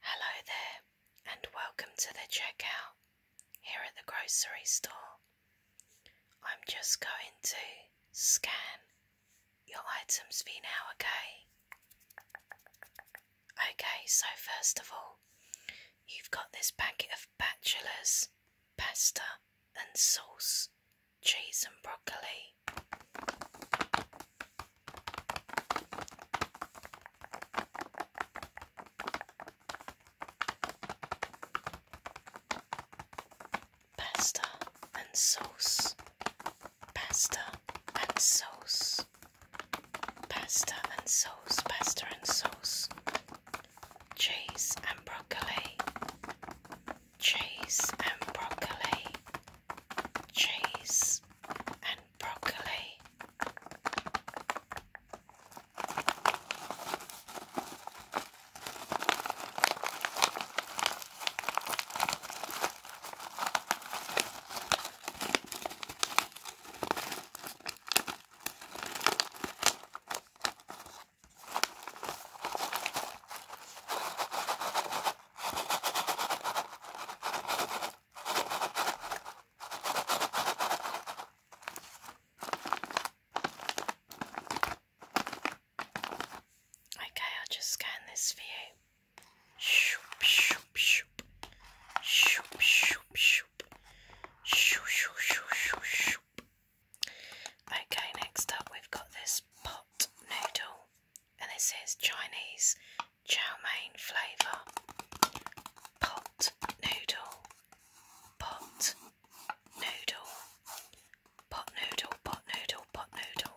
Hello there, and welcome to the checkout here at the grocery store. I'm just going to scan your items for now, okay? Okay, so first of all, you've got this packet of bachelor's pasta and sauce cheese and broccoli. Pasta and sauce, pasta and sauce, pasta and sauce, pasta and sauce, cheese and broccoli, cheese and broccoli, cheese and broccoli. Okay, I'll just scan this for you. shoop, shoop. Shoop, shoop, shoop. Shoop, shoop, shoop, shoop, shoop. Okay, next up we've got this pot noodle, and this is Chinese chow mein flavour. Pot noodle, pot noodle, pot noodle, pot noodle, pot noodle.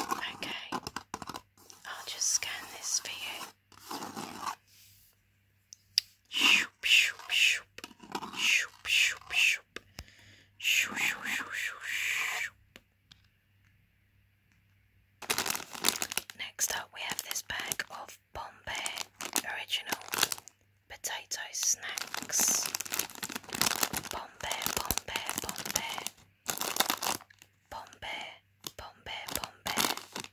Okay, I'll just scan this for you. Next up, we have this bag of Bombay Original Potato Snacks. Bombay, Bombay, Bombay. Bombay, Bombay, Bombay.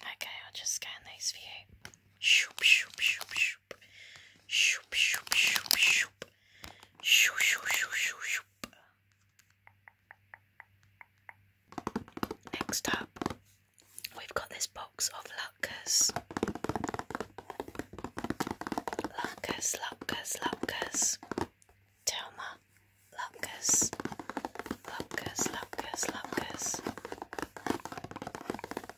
Okay, I'll just scan these for you. Shoop, shoop, shoop, shoop. Shoop, shoop, shoop, shoop. Shoop, shoop, shoop, shoop, shoop. Next up, we've got this box of Luckers. Luckers, Luckers, Luckers. Telma, Luckers. Luckers, Luckers, Luckers.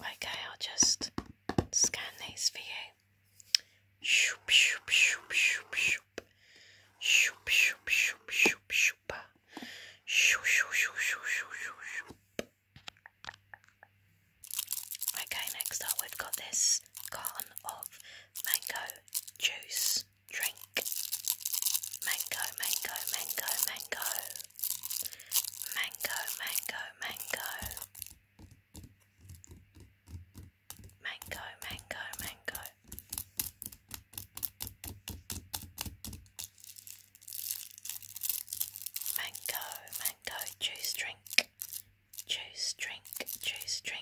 Okay, I'll just scan these for you. Okay, next up we've got this carton of mango juice drink. Mango, mango, mango, mango. Mango, mango, mango. Mango, mango, mango. Mango, mango juice drink. Juice drink, juice drink.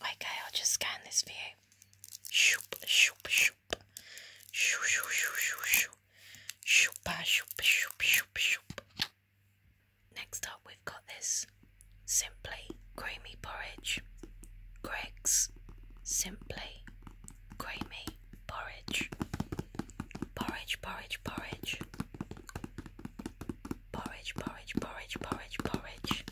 Okay, I'll just scan this for you. Shoop, shoop, shoop. Shoo, Shoop, shoop, shoop, shoop, shoop. Next up, we've got this Simply Creamy Porridge. Greg's Simply Creamy Porridge. Porridge, porridge, porridge. Porridge, porridge, porridge, porridge, porridge.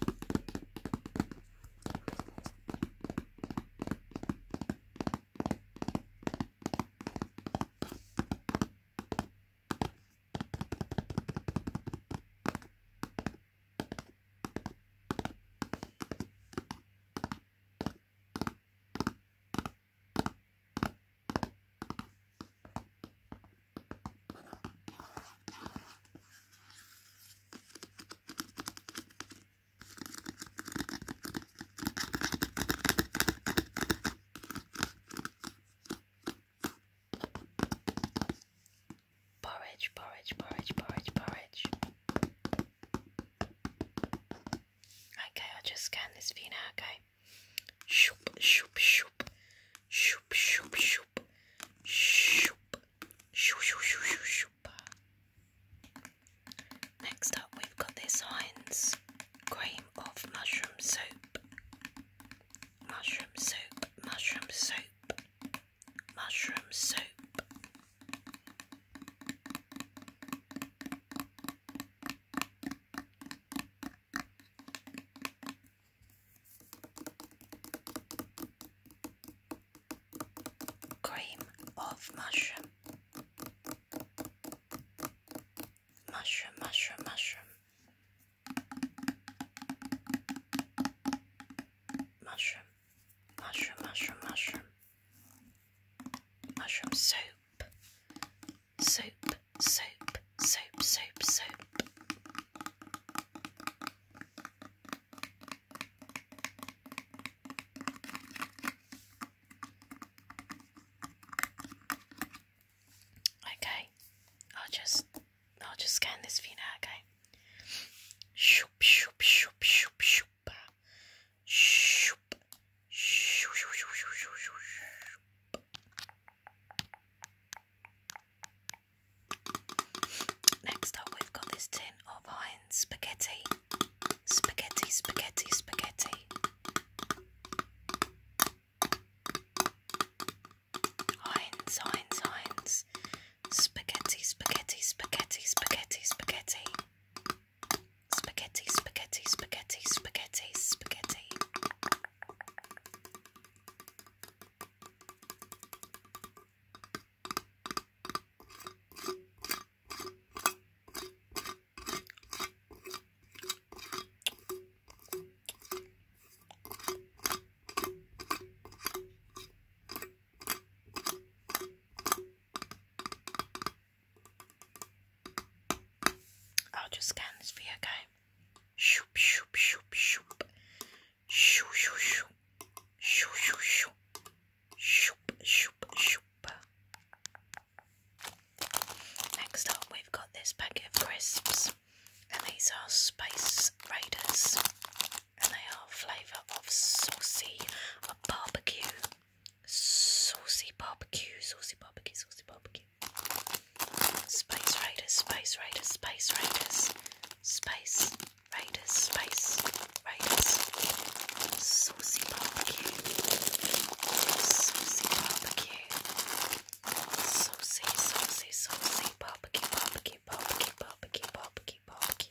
Porridge, porridge, porridge, porridge, porridge. Okay, I'll just scan this for now, okay? Okay. Shoop, shoop, shoop. Shoop, shoop, shoop. Shoop. Shoop, shoop, shoop, shoop, shoop. Next up, we've got this Heinz cream of mushroom soup. Mushroom soup, mushroom soup, mushroom soup cream of mushroom mushroom mushroom mushroom mushroom mushroom mushroom mushroom mushroom soup soap, soap, soap, soap, soap. Okay, I'll just I'll just scan this for you Shoop shoop shoop shoop shoop Next up, we've got this tin of Heinz spaghetti. Spaghetti, spaghetti, spaghetti. Heinz, Heinz, Heinz. Spaghetti, spaghetti, spaghetti, spaghetti, spaghetti. Spaghetti, spaghetti, spaghetti, spaghetti, spaghetti. I'll just scan this for you, okay? Shoop, shoop, shoop, shoop. Shoop, shoop, shoop. Shoop, shoop, shoop. Shoop, shoop, shoop. Next up, we've got this packet of crisps, and these are Space Raiders, and they are flavour of saucy barbecue. Saucy barbecue, saucy barbecue, saucy barbecue. Space Raiders, Space Raiders, Space Raiders, Space Raiders, Space Raiders. Saucy barbecue, saucy barbecue, saucy, saucy, saucy barbecue, barbecue, barbecue, barbecue, barbecue, barbecue.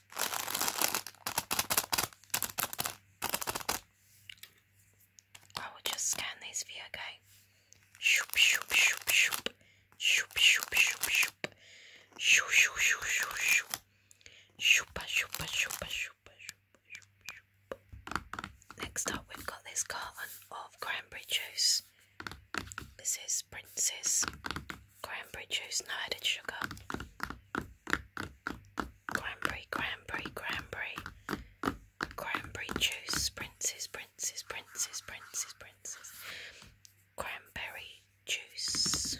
I will just scan these for you, okay? Shoop, shoop, shoop, shoop. Shoop, shoop, shoop, shoop. Shoo, shoo, shoo, shoo, shoo. Shoopa, shoopa, shoopa, shoopa, shoopa, shoopa, shoopa. Next up, we've got this carton of cranberry juice. This is Princess cranberry juice, no added sugar. Cranberry, cranberry, cranberry. Cranberry juice, princes, princes, princes, princes, princes. Cranberry juice.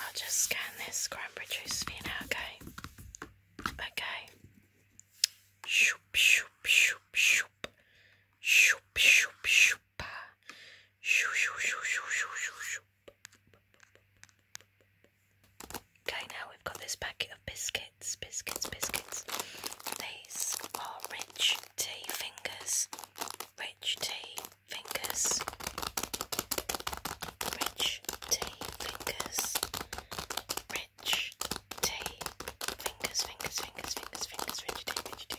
I'll just scan this cranberry juice for you now, okay? Okay. Shoop, shoop, shoop, shoop shoop, shoop, shoop, shoop, shoop, shoop, shoop, shoop, shoop, shoop. Okay, now we've got this packet of biscuits, biscuits, biscuits. These are rich tea fingers, rich tea fingers, rich tea fingers, rich tea. Fingers, fingers, fingers, fingers, fingers, fingers, tea, fingers, tea, fingers.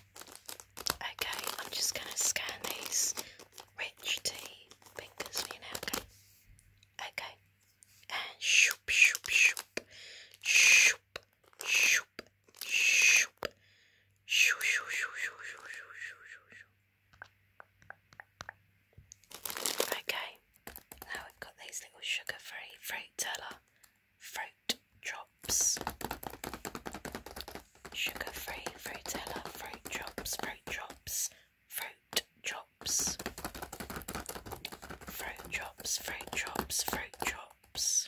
Okay, I'm just going to scan these rich tea fingers okay? Okay, and shoop, shoop, shoop, shoop, shoop, shoop, shoop, shoop, shoop, shoop, shoop, shoop, shoop. Okay, now we've got these little sugar-free fruit teller fruit drops, sugar free frutella, fruit drops, fruit drops, fruit drops, fruit drops, fruit drops, fruit drops.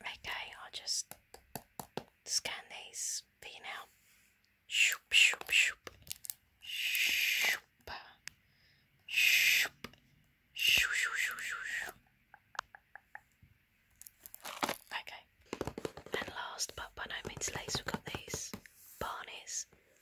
Okay, I'll just scan these for you now. Shoop, shoop, shoop. Shoop. Shoop. Shoop, shoop, shoop, shoop. Okay. And last but by no means least, we've got these Barney's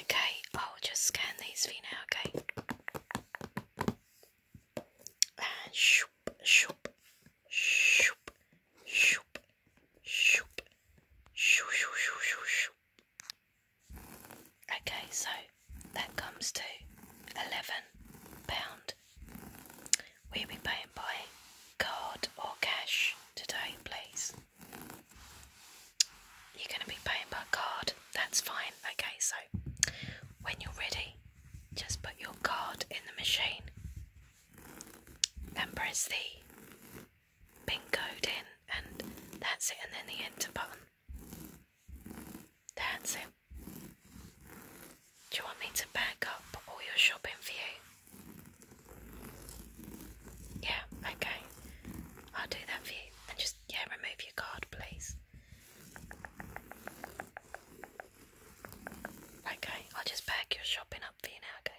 Okay, I'll just scan these for now, okay? And shoop, shoop, shoop, shoop, shoop, shoop, shoop, shoop, shoop. Okay, so that comes to eleven pound. We'll be paying by card or cash today, please. You're going to be paying by card. That's fine. Okay, so when you're ready, just put your card in the machine and press the pin code in, and that's it, and then the enter button. That's it. Do you want me to back up all your shopping for you? Yeah, okay. I'll do that for you. And just, yeah, remove your card, please. Okay, I'll just bag your shopping up for you now, okay?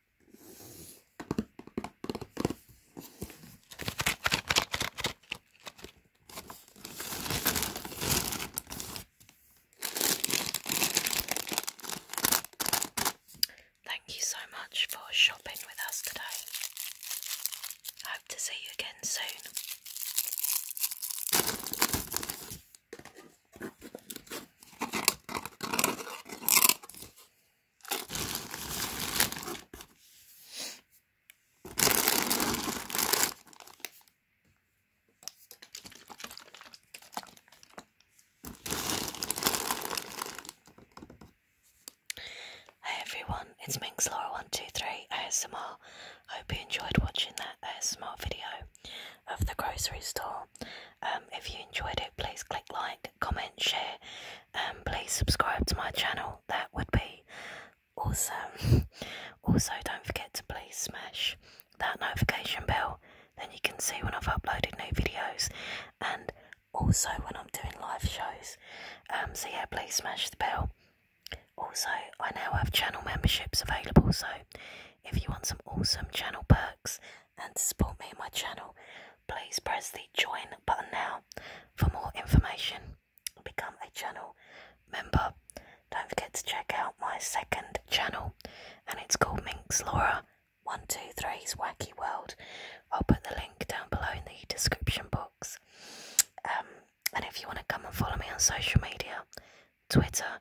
Thank you so much for shopping with us today. I hope to see you again soon. Hey everyone, it's Laura 123 ASMR. Hope you enjoyed watching that ASMR video of the grocery store. Um, if you enjoyed it, please click like, comment, share, and please subscribe to my channel. That would be awesome. also, don't forget to please smash that notification bell, then you can see when I've uploaded new videos and also when I'm doing live shows. Um, so, yeah, please smash the bell. Also, I now have channel memberships available, so if you want some awesome channel perks, and support me and my channel, please press the join button now for more information. Become a channel member. Don't forget to check out my second channel, and it's called Minx Laura 123's Wacky World. I'll put the link down below in the description box. Um, and if you want to come and follow me on social media, Twitter,